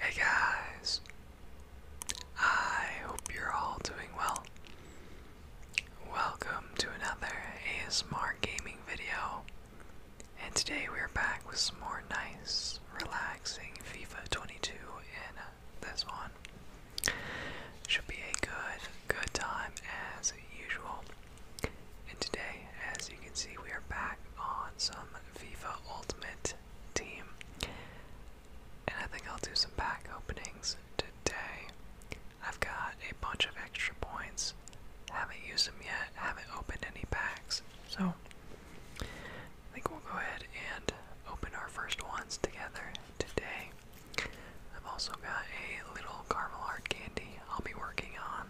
Hey guys, I hope you're all doing well. Welcome to another ASMR gaming video, and today we're back with some more nice, relaxing FIFA 22 in this one. Should be a good, good time as usual. And today, as you can see, we are back on some Viva Ultimate Team. And I think I'll do some pack openings today. I've got a bunch of extra points. Haven't used them yet. Haven't opened any packs. So, I think we'll go ahead and open our first ones together today. I've also got a little caramel hard candy I'll be working on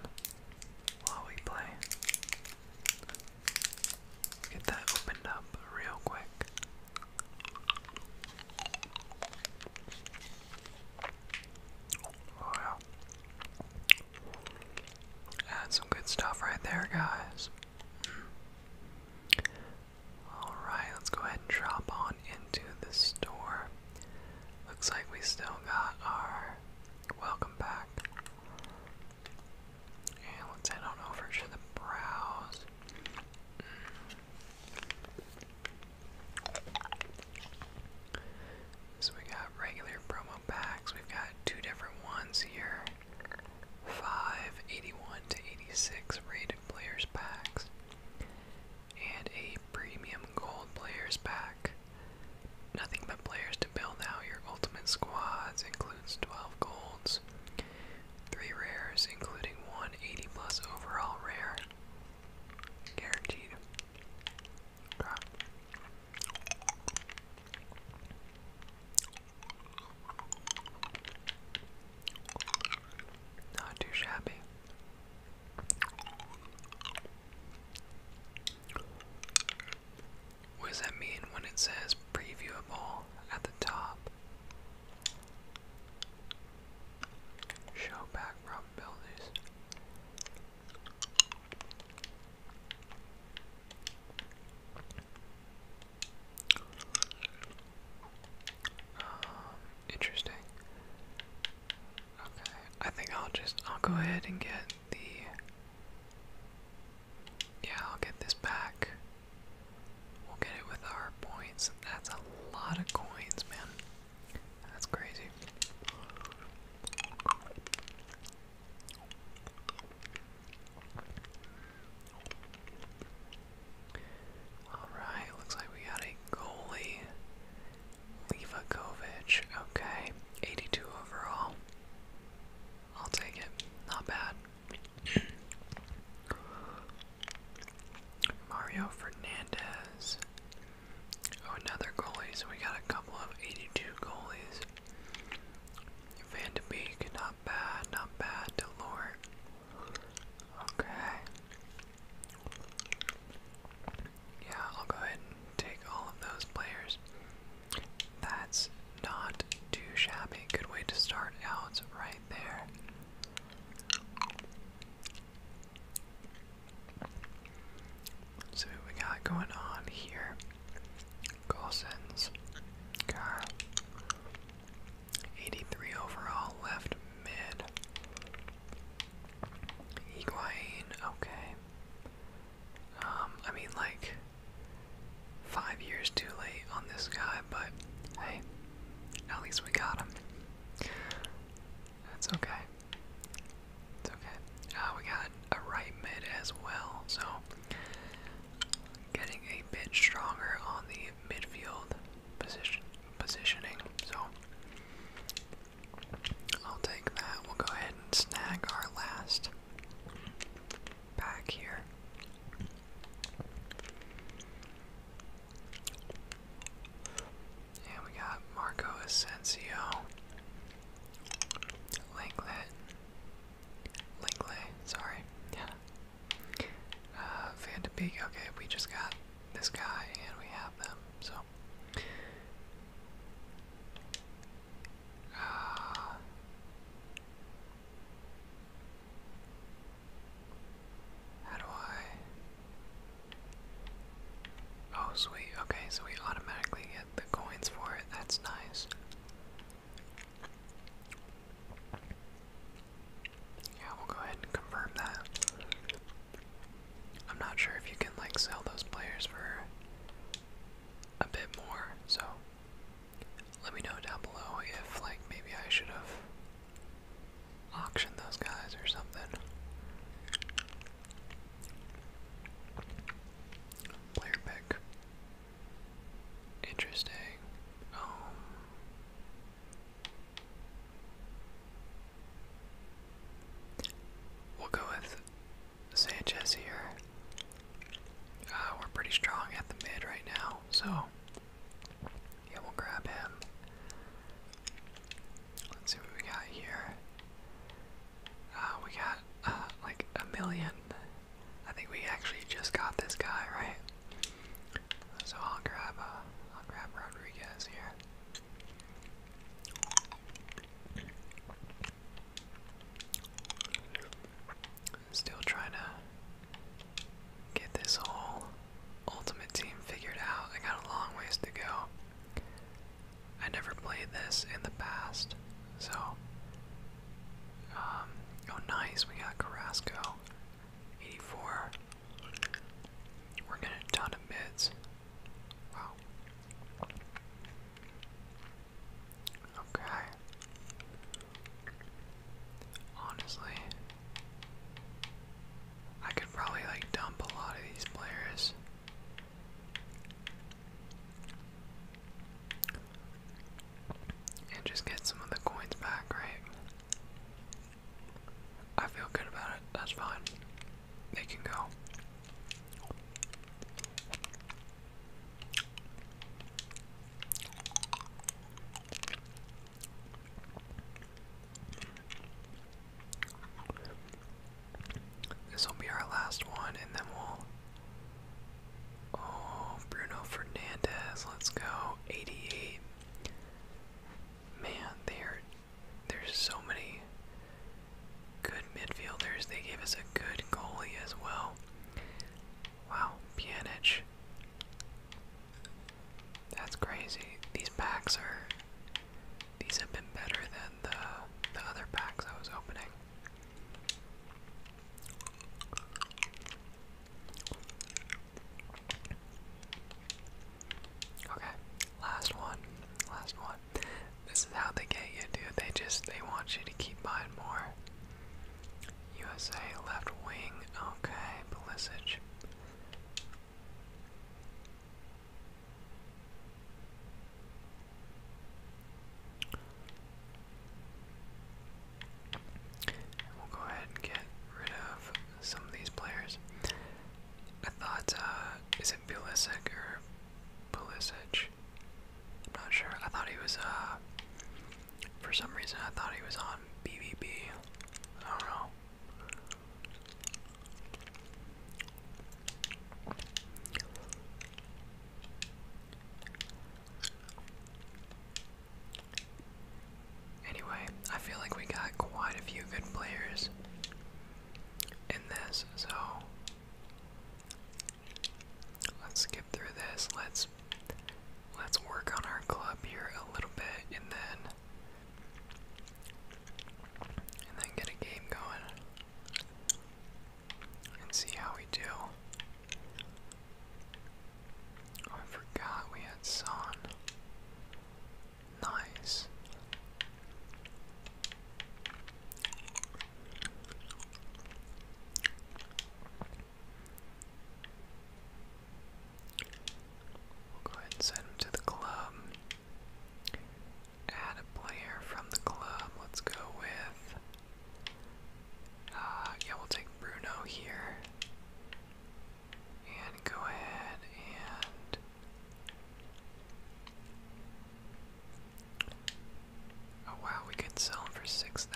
while we play. Get that opened up real quick. Oh, That's some good stuff right there, guys. Alright, let's go ahead and drop on into the store. Looks like we still got our welcome back. And let's head on over to the browse. So we got regular promo packs. We've got two different ones here. five eighty-one to 86 rated players packs and a premium gold players pack. Nothing but players to build now. your ultimate squads includes 12 golds, 3 rares, including one 80 plus overall rare. Guaranteed. Not too shabby. What does that mean when it says previewable at the top? Show probabilities. Um, interesting. Okay, I think I'll just I'll go ahead and get the yeah, I'll get this back. We'll get it with our points. That's a lot of coins, man. That's crazy. Alright, looks like we got a goalie. Levakovic, okay. 82 overall. I'll take it. Not bad. Mario Fernandez. Oh, another goalie. So we got a couple of 82 goalies. Van not bad, not bad. Delort. Okay. Yeah, I'll go ahead and take all of those players. That's not too shabby. Good way to start out right there. So we got going on here. Golson's car. 83 overall left mid. Higuain, okay. Um, I mean, like, five years too late on this guy, but hey, at least we got him. That's okay. It's okay. Uh, we got a right mid as well, so getting a bit stronger on the midfield position positioning. So I'll take that. We'll go ahead and snag our last back here. And we got Marco Asensio, Langlet, Lingley, sorry, yeah, uh, okay, we just got this guy, and we have them. So, uh, how do I? Oh, sweet. Okay, so we automatically get the coins for it. That's nice. Yeah, we'll go ahead and confirm that. I'm not sure if you can like sell those players for a bit more, so let me know down below if like maybe I should have auctioned those guys or something. Player pick. Interesting. Um, We'll go with Sanchez here. Uh, we're pretty strong at the mid right now, so yeah, we'll grab him. Let's see what we got here. Uh, we got uh, like a million. I think we actually just got this guy, right? So I'll grab, I'll grab Rodriguez here. Still trying to get this whole ultimate team figured out. I got a long ways to go. I never played this in the past, so. Um, oh, nice. We got Carrasco. 84. We're getting a ton mids. Wow. Okay. Honestly, I could probably like dump a lot of these players. And just get some of the coins back, right? I feel good about it. That's fine. They can go. This will be our last one, and then we'll. Oh, Bruno Fernandez, let's go. 88. Man, they're there's so many good midfielders. They gave us a good goalie as well. Wow, Pjanic. That's crazy. These packs are these have been better than the the other packs I was opening. Okay, last one. Last one. This is how they get you, dude. They just they want you to keep buying more. USA left wing. Okay, Pulisic. We'll go ahead and get rid of some of these players. I thought, uh, is it Pulisic or Pulisic? I'm not sure. I thought he was, uh, for some reason I thought he was on BVB. I don't know. Anyway, I feel like we got quite a few good players in this, so let's skip through this. Let's let's work on our club here a little bit and then and then get a game going and see how we do. Oh, I forgot we had Son. Nice. go ahead and send to the club. Add a player from the club. Let's go with. Uh, yeah, we'll take Bruno here. And go ahead and Oh wow, we could sell them for 6,000.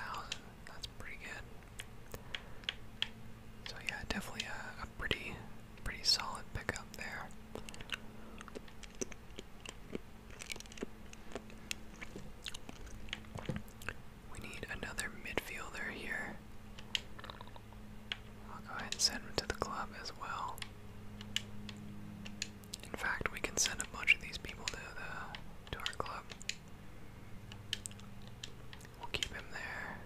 That's pretty good. So yeah, definitely a, a pretty pretty solid pickup there. We need another midfielder here. I'll go ahead and send him to the club as well. In fact, we can send a bunch of these people to the to our club. We'll keep him there.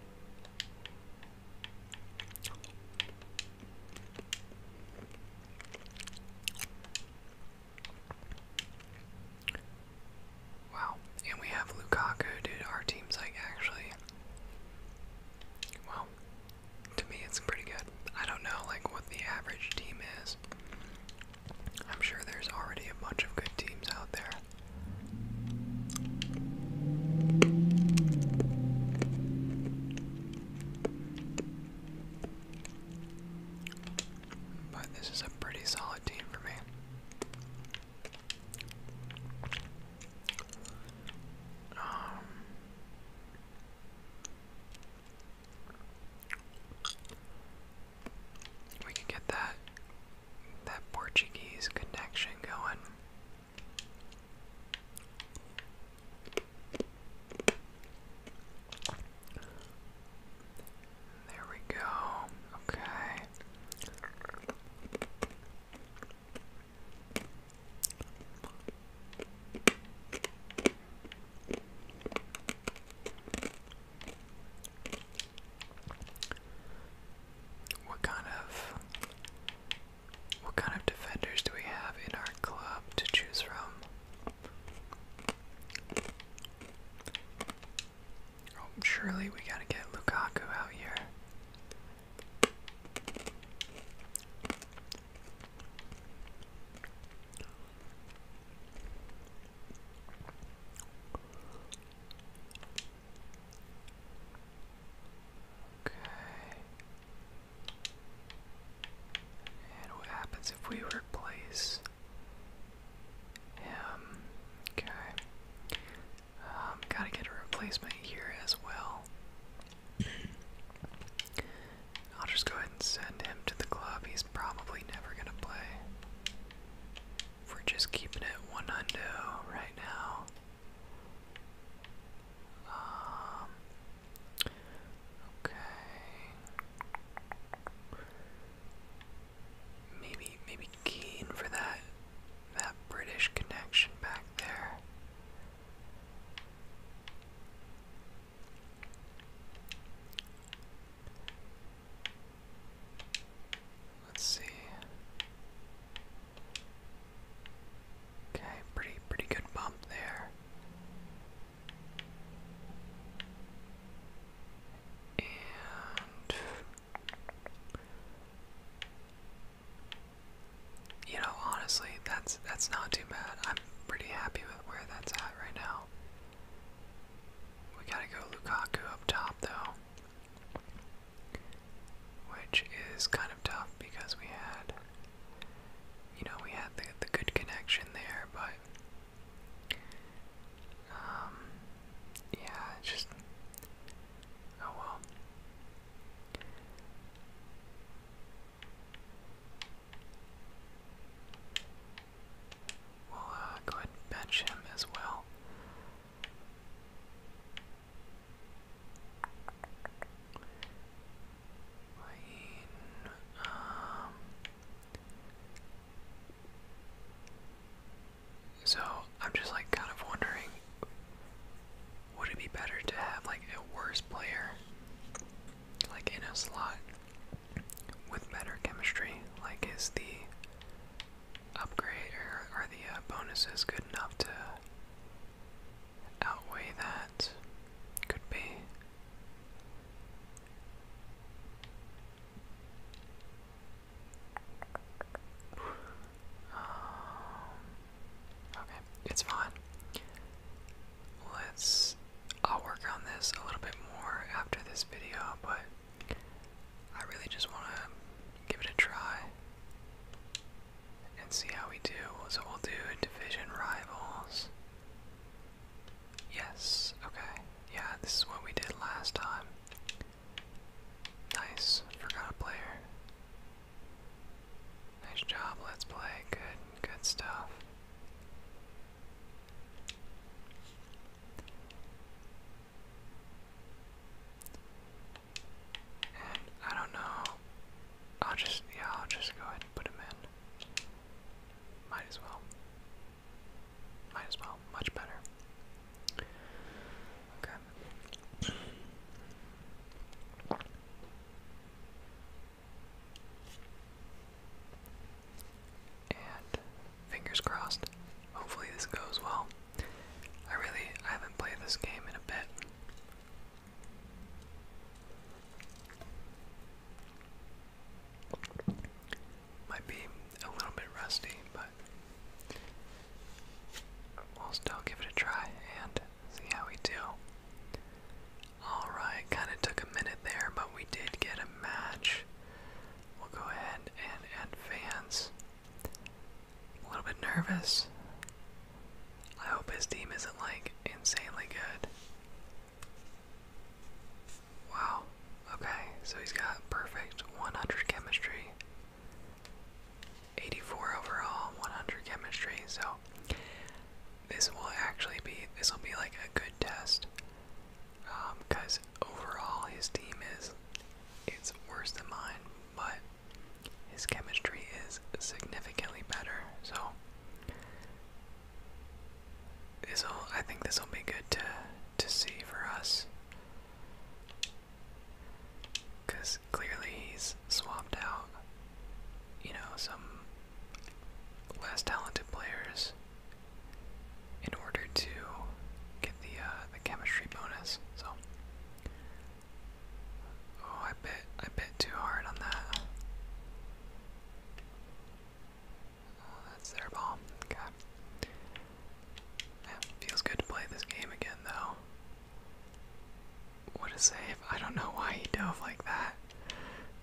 Wow, and we have Lukaku, dude. Our team's like actually. Well, to me it's pretty good. I don't know like what the average team is. I'm sure there's already a bunch of good teams out there. But this is a pretty solid team for me. Um, we could get that that Portuguese connection going. There we go. Okay. What kind of what kind of defenders do we have in our club to choose from? Oh, surely we gotta get Lukaku out here. Okay. And what happens if we replace him? Okay. Um, gotta get a replacement here as well. I'll just go ahead and send him to the club. He's probably never gonna play. we're just keeping it one hundo right now. Um, okay. Maybe maybe keen for that that British connection back there. Let's see. Okay, pretty pretty good bump there. And you know, honestly, that's that's not too bad. I'm pretty happy with where that's at right now. We gotta go Lukaku up top though. Which is kind of tough because we had you know, we had the the good connection there, but um yeah, just oh well. We'll uh, go ahead bench him as well. Lane, um, so I'm just like kind of wondering would it be better to have like a worse player, like in a slot, with better chemistry? Like, is the upgrade or are the uh, bonuses good enough to outweigh that? Could be. Um, Okay, it's fine. Let's. I'll work on this a little bit more after this video, but I really just want to give it a try and see how we do. So we'll do division rivals. Yes, okay. Yeah, this is what we did last time. Nice. Forgot a player. Nice job, let's play. Good, good stuff. And I don't know. I'll just yeah, I'll just go ahead and put him in. Might as well. Might as well. Much better. Okay. And fingers crossed, hopefully this goes well. I really I haven't played this game in a bit. Might be a little bit rusty, but we'll still give it a try and see how we do. Alright, kind of took a minute there, but we did get a match. We'll go ahead and advance. A little bit nervous. I hope his team isn't like insanely good. Wow. Okay, so he's got perfect 100 chemistry. 84 overall, 100 chemistry. So this will actually be this will be like a good test because um, overall his team is it's worse than mine, but his chemistry is significantly better. So this will I think this will be good to to see for us. Cause clearly he's swapped out, you know, some less talented players in order to get the uh, the chemistry bonus. So, oh, I bit I bit too hard on that. Oh, that's their ball. God. Yeah, feels good to play this game again, though. What a save. I don't know why he dove like that.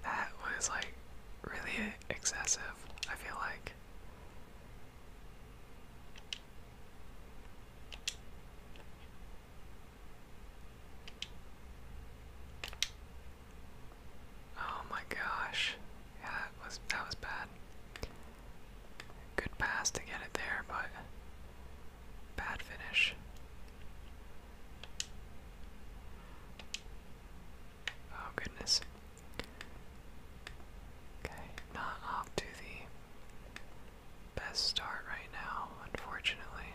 That was like really excessive, I feel like. Oh my gosh. Yeah, that was that was bad. Good pass to get it there, but Bad finish. Oh goodness. Okay, not off to the best start right now, unfortunately.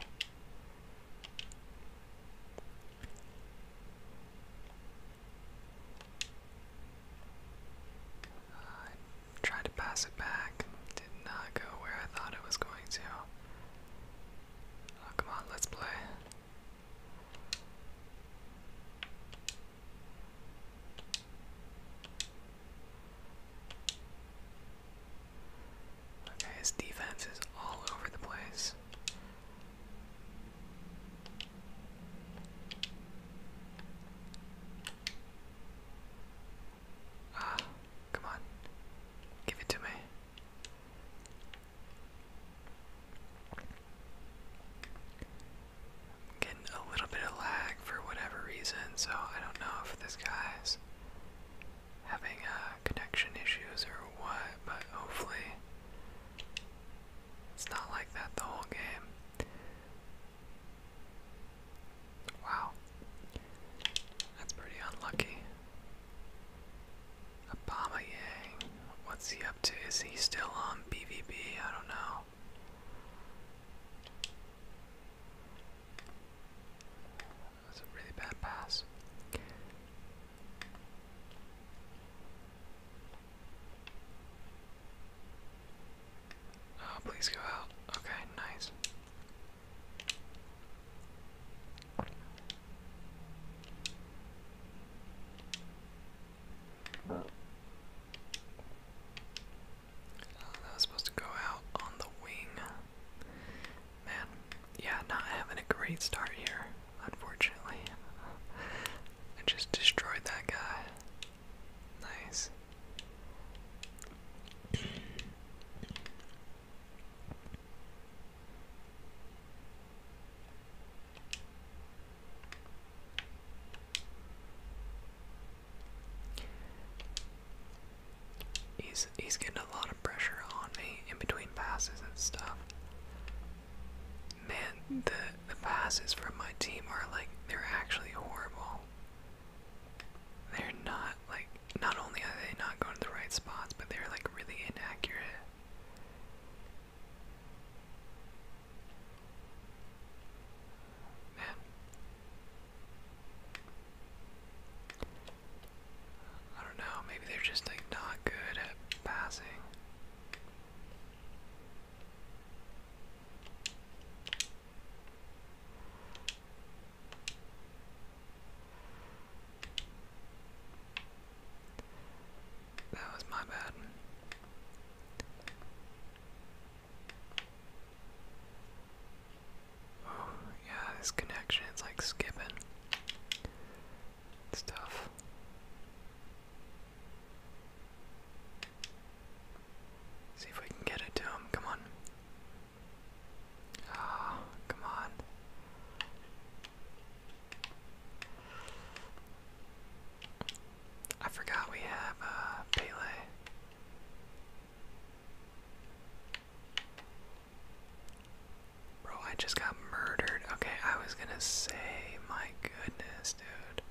I tried to pass it back, did not go where I thought it was going to. Oh, come on, let's play. his defense is all over the place. Ah, come on. Give it to me. getting a little bit of lag for whatever reason, so I don't know if this guy's having uh, connection issues or what, but hopefully it's not like that the whole game. Wow. That's pretty unlucky. Obama What's he up to? Is he still on BVB? I don't know. That's a really bad pass. Oh, please go out. Okay, nice. Oh, that was supposed to go out on the wing. Man, yeah, not having a great start here, unfortunately. I just destroyed that guy. Nice. He's he's getting a lot of pressure on me in between passes and stuff. Man, the the passes from my team are like they're actually horrible they're not like not only are they not going to the right spots, but they're like really inaccurate. Man. I don't know, maybe they're just like not good at passing. That was my bad. Oh, yeah, this connection is like skipping. It's tough. See if we can get it to him. Come on. Ah, come on. I forgot we have uh, Pele. Bro, I just got murdered. Okay, I was gonna say, my goodness, dude.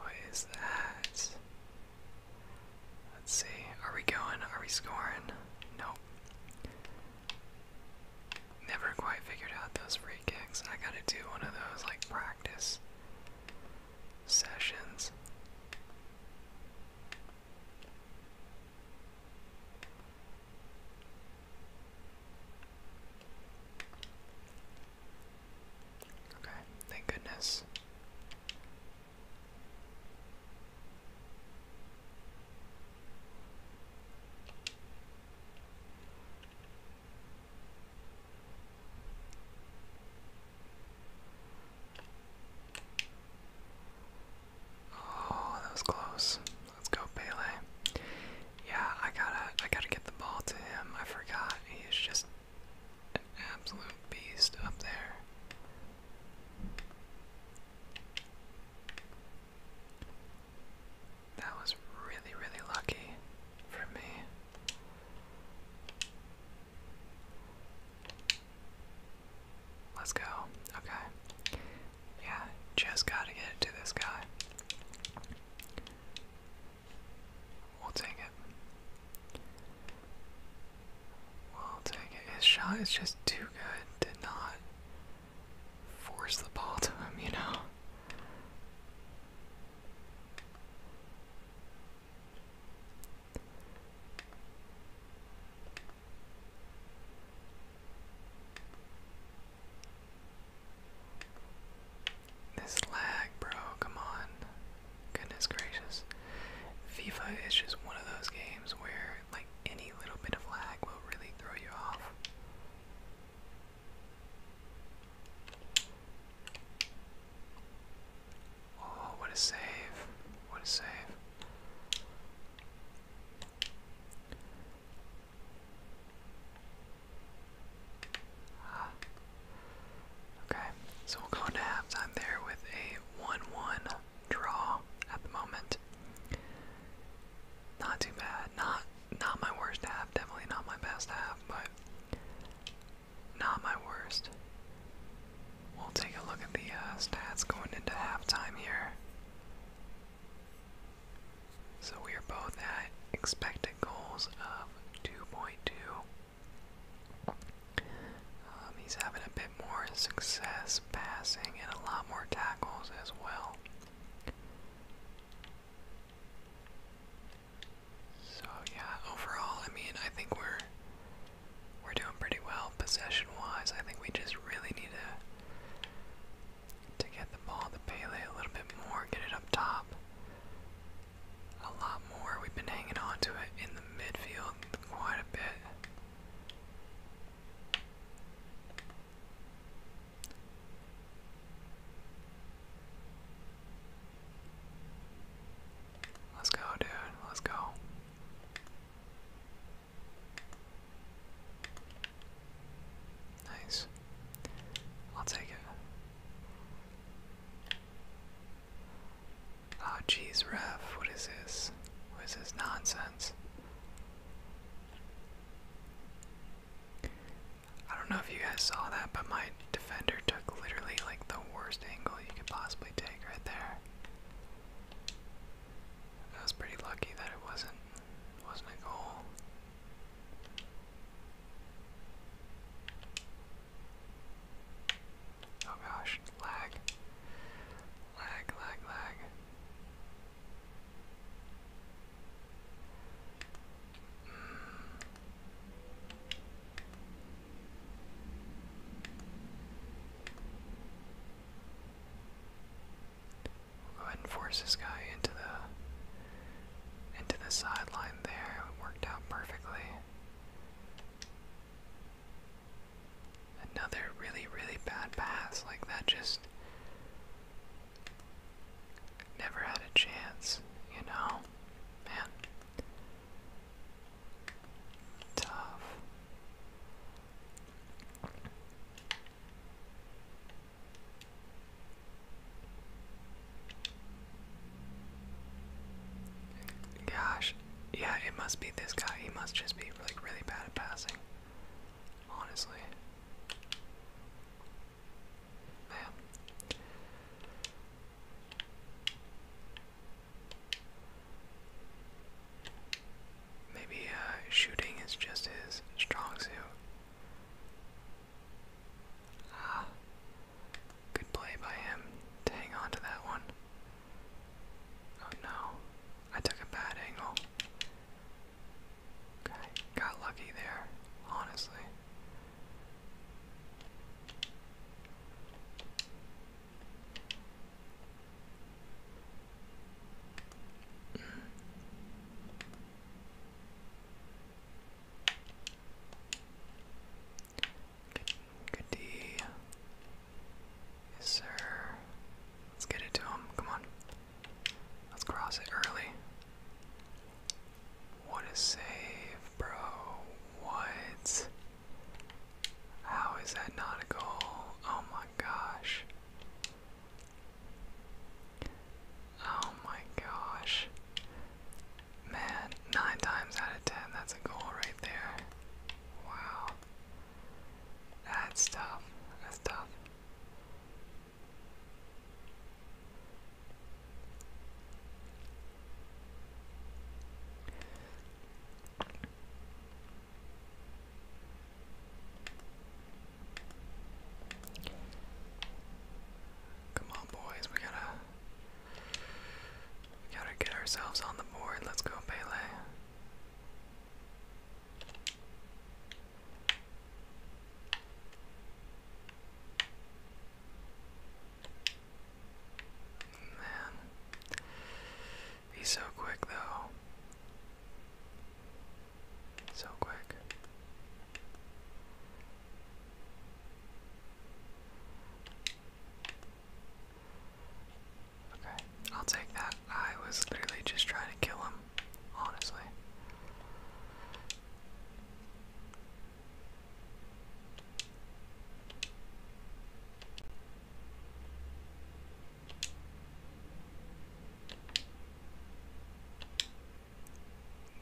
What is that? Let's see. Are we going? Are we scoring? Nope. Never quite figured out those free kicks. I gotta do one of those, like, practice sessions. Okay, thank goodness. Oh, that was close. Let's go, Pele. Yeah, I gotta I gotta get the ball to him. I forgot. He is just an absolute beast up there. That was really, really lucky for me. Let's go. Okay. Yeah, just gotta get to this guy. We'll take it. Well, take it. His shot is just too good to not force the ball to him, you know? This lag, bro, come on. Goodness gracious. FIFA is just one of those games where like any little bit of lag will really throw you off. Oh, what a save! What a save! Ah. Okay, so we'll go into halftime there with a 1 1 draw at the moment. Not too bad. Not not my worst half. Definitely not my best half, but not my worst. We'll take a look at the uh, stats going into halftime here. So we are both at expected goals of 2.2. Um, he's having a more success passing and a lot more tackles as well. So yeah, overall, I mean, I think we're we're doing pretty well possession-wise. I think we just really need to to get the ball the Pele a little bit more, get it up top a lot more. We've been hanging on to it in the midfield quite a bit. Let's go, dude. Let's go. Nice. I'll take it. Oh, jeez, ref. What is this? What is this nonsense? I don't know if you guys saw that, but my defender took literally like the worst angle you could possibly take right there. I was pretty lucky that it wasn't wasn't a goal. Oh gosh, lag. Lag, lag, lag go ahead and force this guy into the into the sideline there. It worked out perfectly. Another really, really bad pass. Like, that just never had a chance, you know? Man. Tough. Gosh, yeah, it must be this guy. He must just be like really bad at passing. Honestly. Man. Maybe uh, shooting is just his strong suit. Ah. Good play by him to hang on to that one. Oh no, I took a bad angle. Okay, got lucky there, honestly. Mm. Good, good D. Yes, sir. Let's get it to him. Come on. Let's cross it early. What a save, bro. What? How is that not a goal? Oh my gosh. Oh my gosh. Man, nine times out of ten, that's a goal right there. Wow. That's tough. That's tough. Come on, boys. We gotta, we gotta get ourselves on the board. Let's go, Pele. Man, he's so quick though. So quick. Okay, I'll take that. I was literally just trying to kill him, honestly.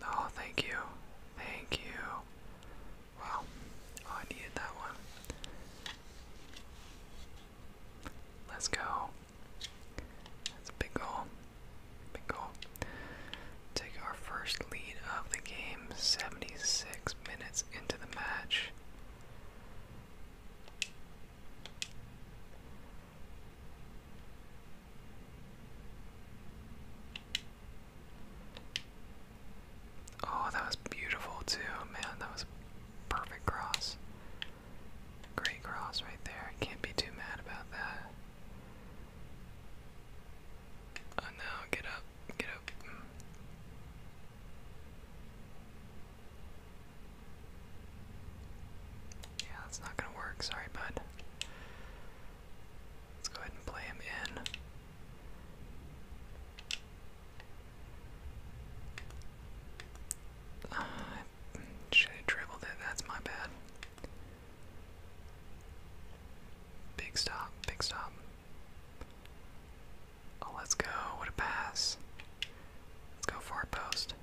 Oh, thank you. Thank you. Wow. Oh, I needed that one. Let's go. That's a big goal. Big goal. Take our first lead of the game 76 minutes into the match. Oh, that was beautiful too, man. That was perfect cross. Gray cross right there. Can't be too mad about that. Oh no, get up, get up. Yeah, that's not gonna work. Sorry, bud. Let's go ahead and play him in. Uh, should have dribbled it. That's my bad. Big stop. Big stop. Oh, let's go. What a pass. Let's go far post.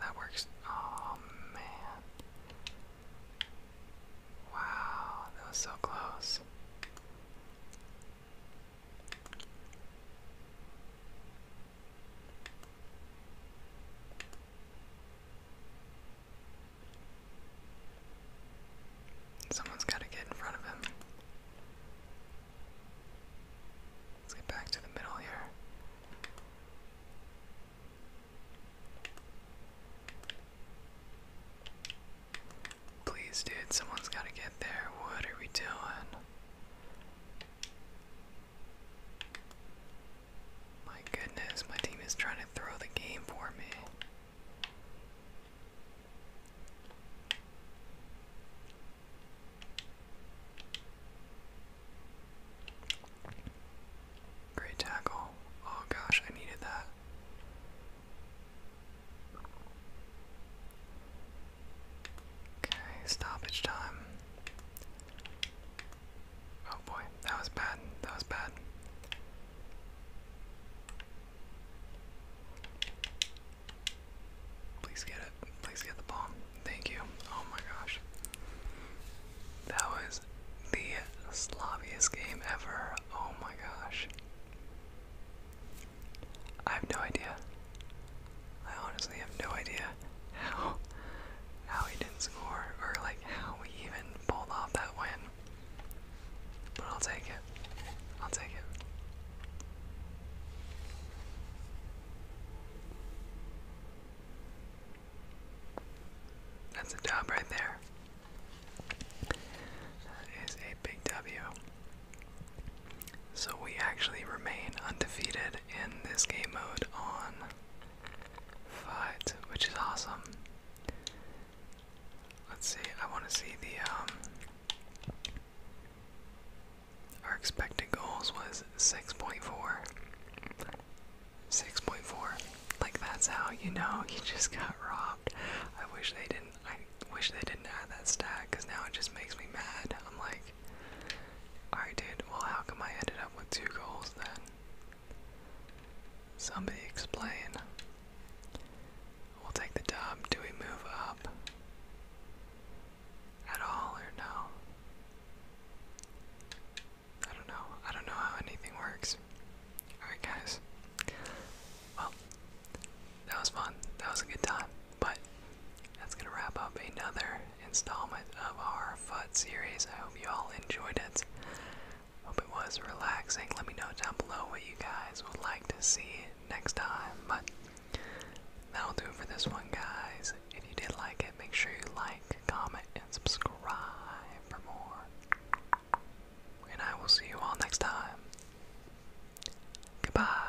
That works. Oh, man. Wow, that was so close. Someone's got to get in front of him. Let's get back to the middle here. Please, dude, someone's got to get there. What are we doing? My goodness, my team is trying to throw the game for me. Great tackle. Oh gosh, I needed that. Okay, stoppage time. Oh boy, that was bad. That was bad. Please get it. Please get the bomb. Thank you. Oh my gosh. That was the sloppiest game ever. Oh my gosh. I have no idea. I honestly have no idea how how he didn't score or like how we even pulled off that win. But I'll take it. I'll take it. That's a dub right there. That is a big W. So we actually remain undefeated in this game mode on fight, which is awesome. Let's see, I want to see the um our expected goals was 6.4. 6.4. Like that's how you know you just got robbed. I wish they didn't I wish they didn't add that stack cuz now it just makes me mad. I'm like I did. Well, how come I ended up with two goals then? Somebody explain. We'll take the dub. Do we move up at all or no? I don't know. I don't know how anything works. Alright, guys. Well, that was fun. That was a good time. But that's going to wrap up another installment of our FUD series. I hope you all enjoyed it. Hope it was relaxing. Let me know down below what you guys would like to see next time. But that'll do it for this one, guys. If you did like it, make sure you like, comment, and subscribe for more. And I will see you all next time. Goodbye.